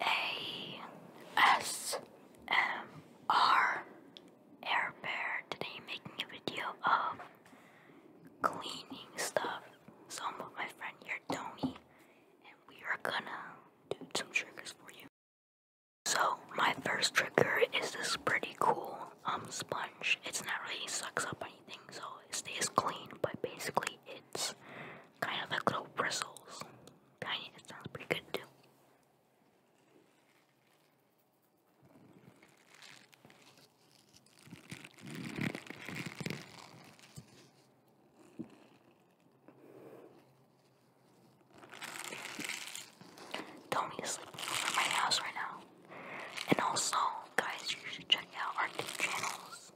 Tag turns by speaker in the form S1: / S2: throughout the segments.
S1: ASMR Air Bear. Today making a video of cleaning stuff. Some of my friend here, Tony, and we are gonna do some triggers for you. So my first trigger is this pretty cool um sponge. It's not really sucks up anything, so it stays clean, but basically it's kind of like little bristles Kinda, it sounds pretty good too. Tony is sleeping over my house right now. And also, guys, you should check out our two channels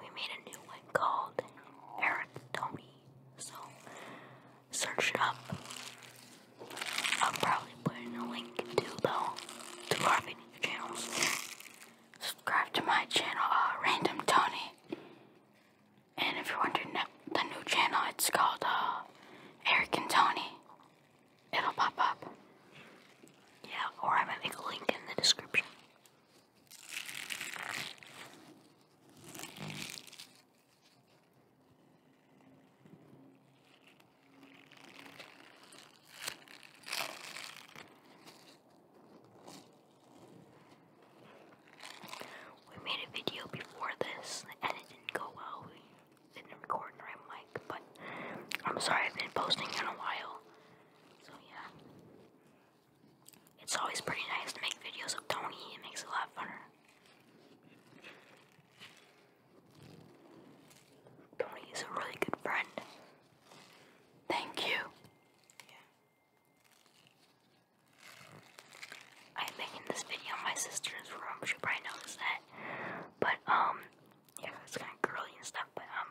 S1: we made a new one called Eric Tony. So search it up. I'll probably put in a link to though to our video channels. Subscribe to my channel, uh, Random Tony. And if you're wondering the new channel, it's called uh, Eric and Tony. It'll pop up. Yeah, or I might make a link in the description. We made a video before this and it didn't go well. We didn't record the right mic, but I'm sorry I've been posting in a while. So yeah. It's always pretty nice to make videos of Tony, it makes it a lot funner. Tony is a really good friend. Thank you. I'm making this video in my sister's room, she probably noticed that. But, um, yeah, it's kind of girly and stuff, but, um,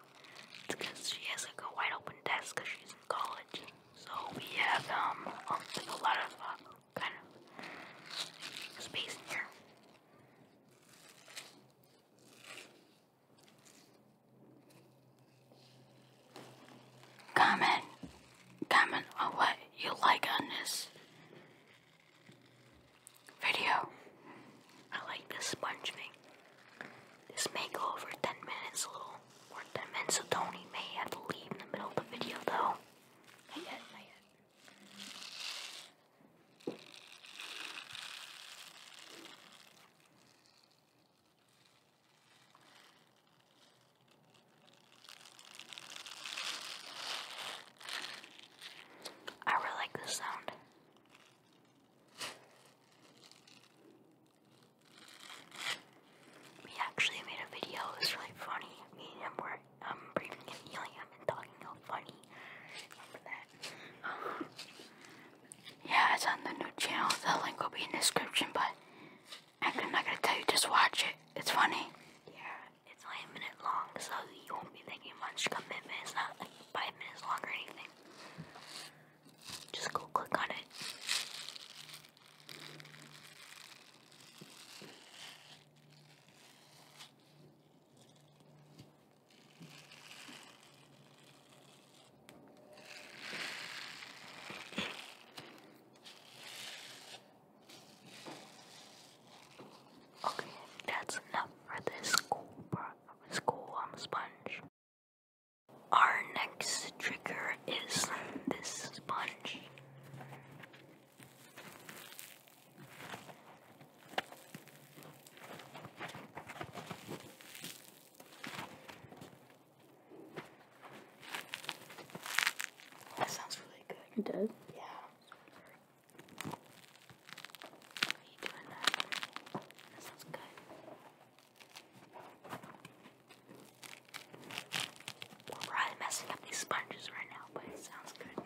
S1: because she has like a wide open desk because she's in college. So we have um, um, a lot of uh, kind of space in here. Comment, comment on what you like on this video. I like this sponge thing. This may go over 10 minutes a little more 10 minutes, so Tony may have to leave in the middle of the video though. Not yet, not yet. I really like this sound. We actually made a video, it really funny. Me and him were um, breathing and helium and talking all funny. Remember that? yeah, it's on the new channel. The link will be in the description, but I'm not gonna tell you, just watch it. It's funny. Yeah, it's only a minute long, so you won't be thinking much commitment. It's not like five minutes long or anything. Just go click on it. Okay, that's enough for this school, bro. School um, sponge. Our next trigger is this sponge. That sounds really good. It does? Yeah. Are you doing That sounds good. We're probably messing up these sponges right now, but it sounds good.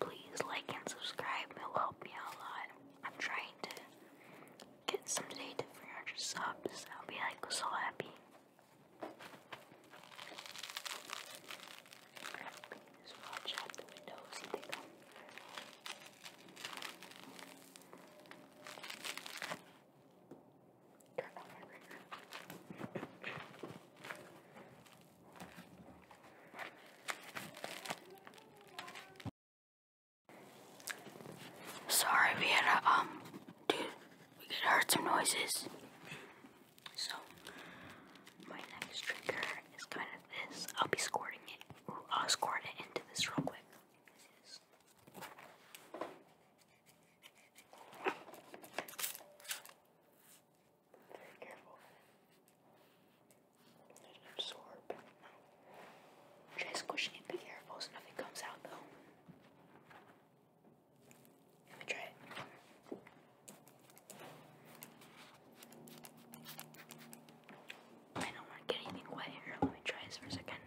S1: Please like and subscribe, it'll help me a lot. I'm trying to get someday to 300 subs, I'll be like so happy. Sorry, we had a, um, dude, we could heard some noises. So, my next trigger is kind of this. I'll be squirting it. Ooh, I'll squirt it into this real quick. Very careful. There's an absorb. Try squishing it, be careful so nothing comes out though. Let me try it. I don't want to get anything wet here. Let me try this for a second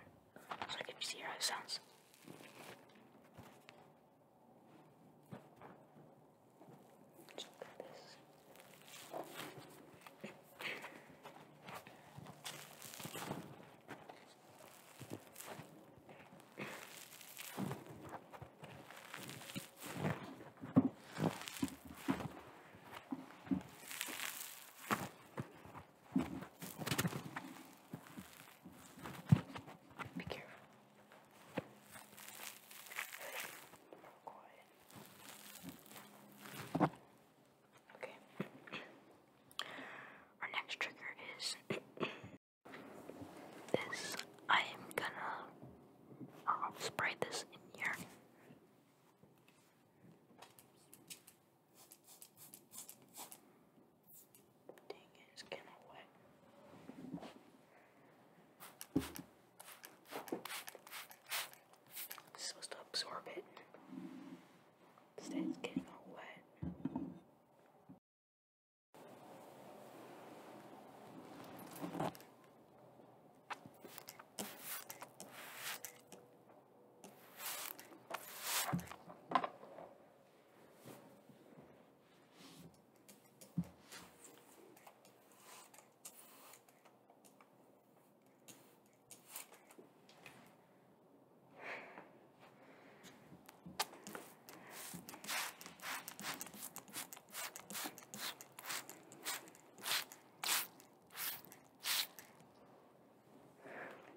S1: so I can see how it sounds. Just like this. Be careful. Okay. Our next trigger is this. I am gonna spray this in here it's kind of wet. supposed to absorb it. it's getting all wet.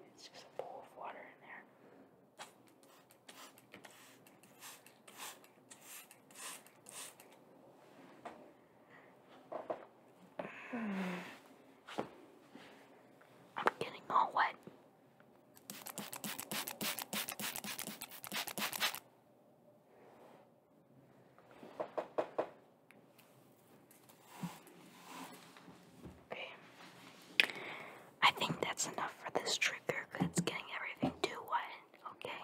S1: It's just a bowl of water in there. I'm getting all wet. Okay. I think that's enough for this trigger it's getting everything to one. Okay.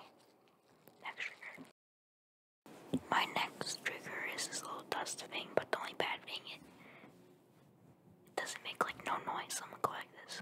S1: Next trigger. My next trigger is this little dust thing, but the only bad thing is it doesn't make like no noise. So I'm gonna go like this.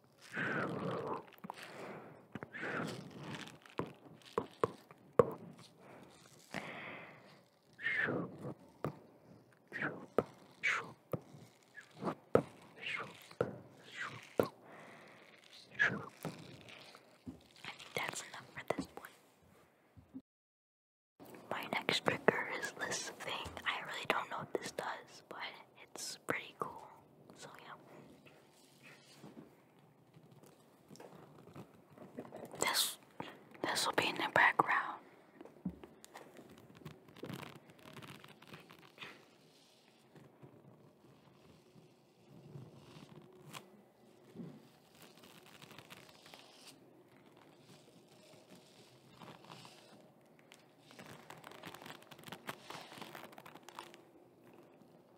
S1: I think that's enough for this one. My next trigger is this thing. I really don't know what this does, but it's pretty cool. So yeah. This this will be in the background.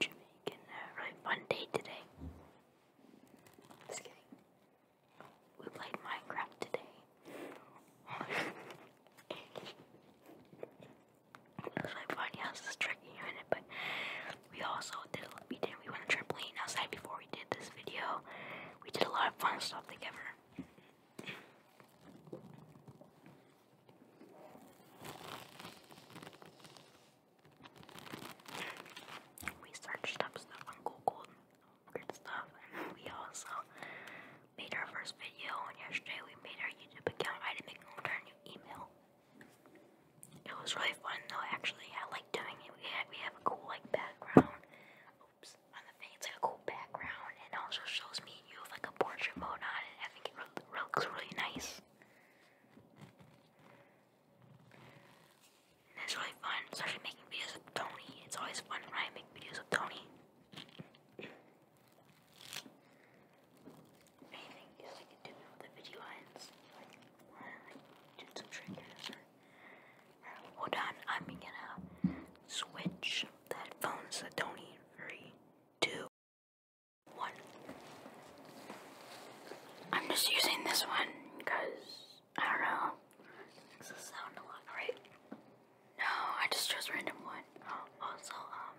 S1: Jamaican uh, right one day today. We played Minecraft today. it was like funny how this tricking but we also did we did we went trampoline outside before we did this video. We did a lot of fun stuff together. We searched up stuff on Google, weird stuff, we also made our first video. on yesterday we made our YouTube account. I had to make our
S2: new email. It was really
S1: fun though. Actually, I like doing it. We have, we have a cool like background, loops on the thing. like a cool background and also shows me you have like a portrait mode on and I think it looks really nice. And it's really fun, especially making videos with Tony. It's always fun when I make videos with Tony. Anything is like a do with the video ends. Like, or some triggers Hold on, I'm gonna switch that phones a don't eat. Three, two, one. I'm just using this one because I don't know. Makes the sound a lot, right? No, I just chose random one. also, um,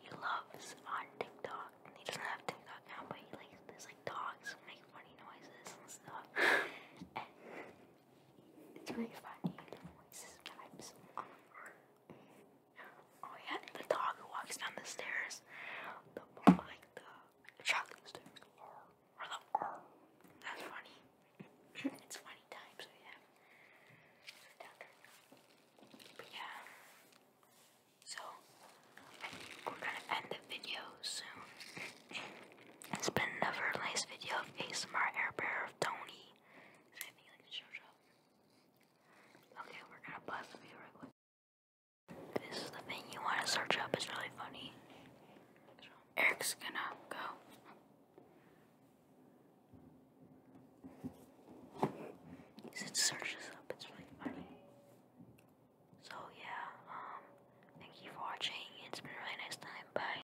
S1: he loves on TikTok. And he doesn't have TikTok now, but he likes there's like dogs who make funny noises and stuff. three funny oh yeah, the dog walks down the stairs, That's funny. it's funny time, so yeah. So we're gonna end the video soon. it's been another nice video of ASMR Air Bear of Tony. Okay, we're gonna pause the video This is the thing you want to search up. It's really funny. Eric's gonna go. It searches up. It's really funny. So yeah. Um. Thank you for watching. It's been a really nice time. Bye.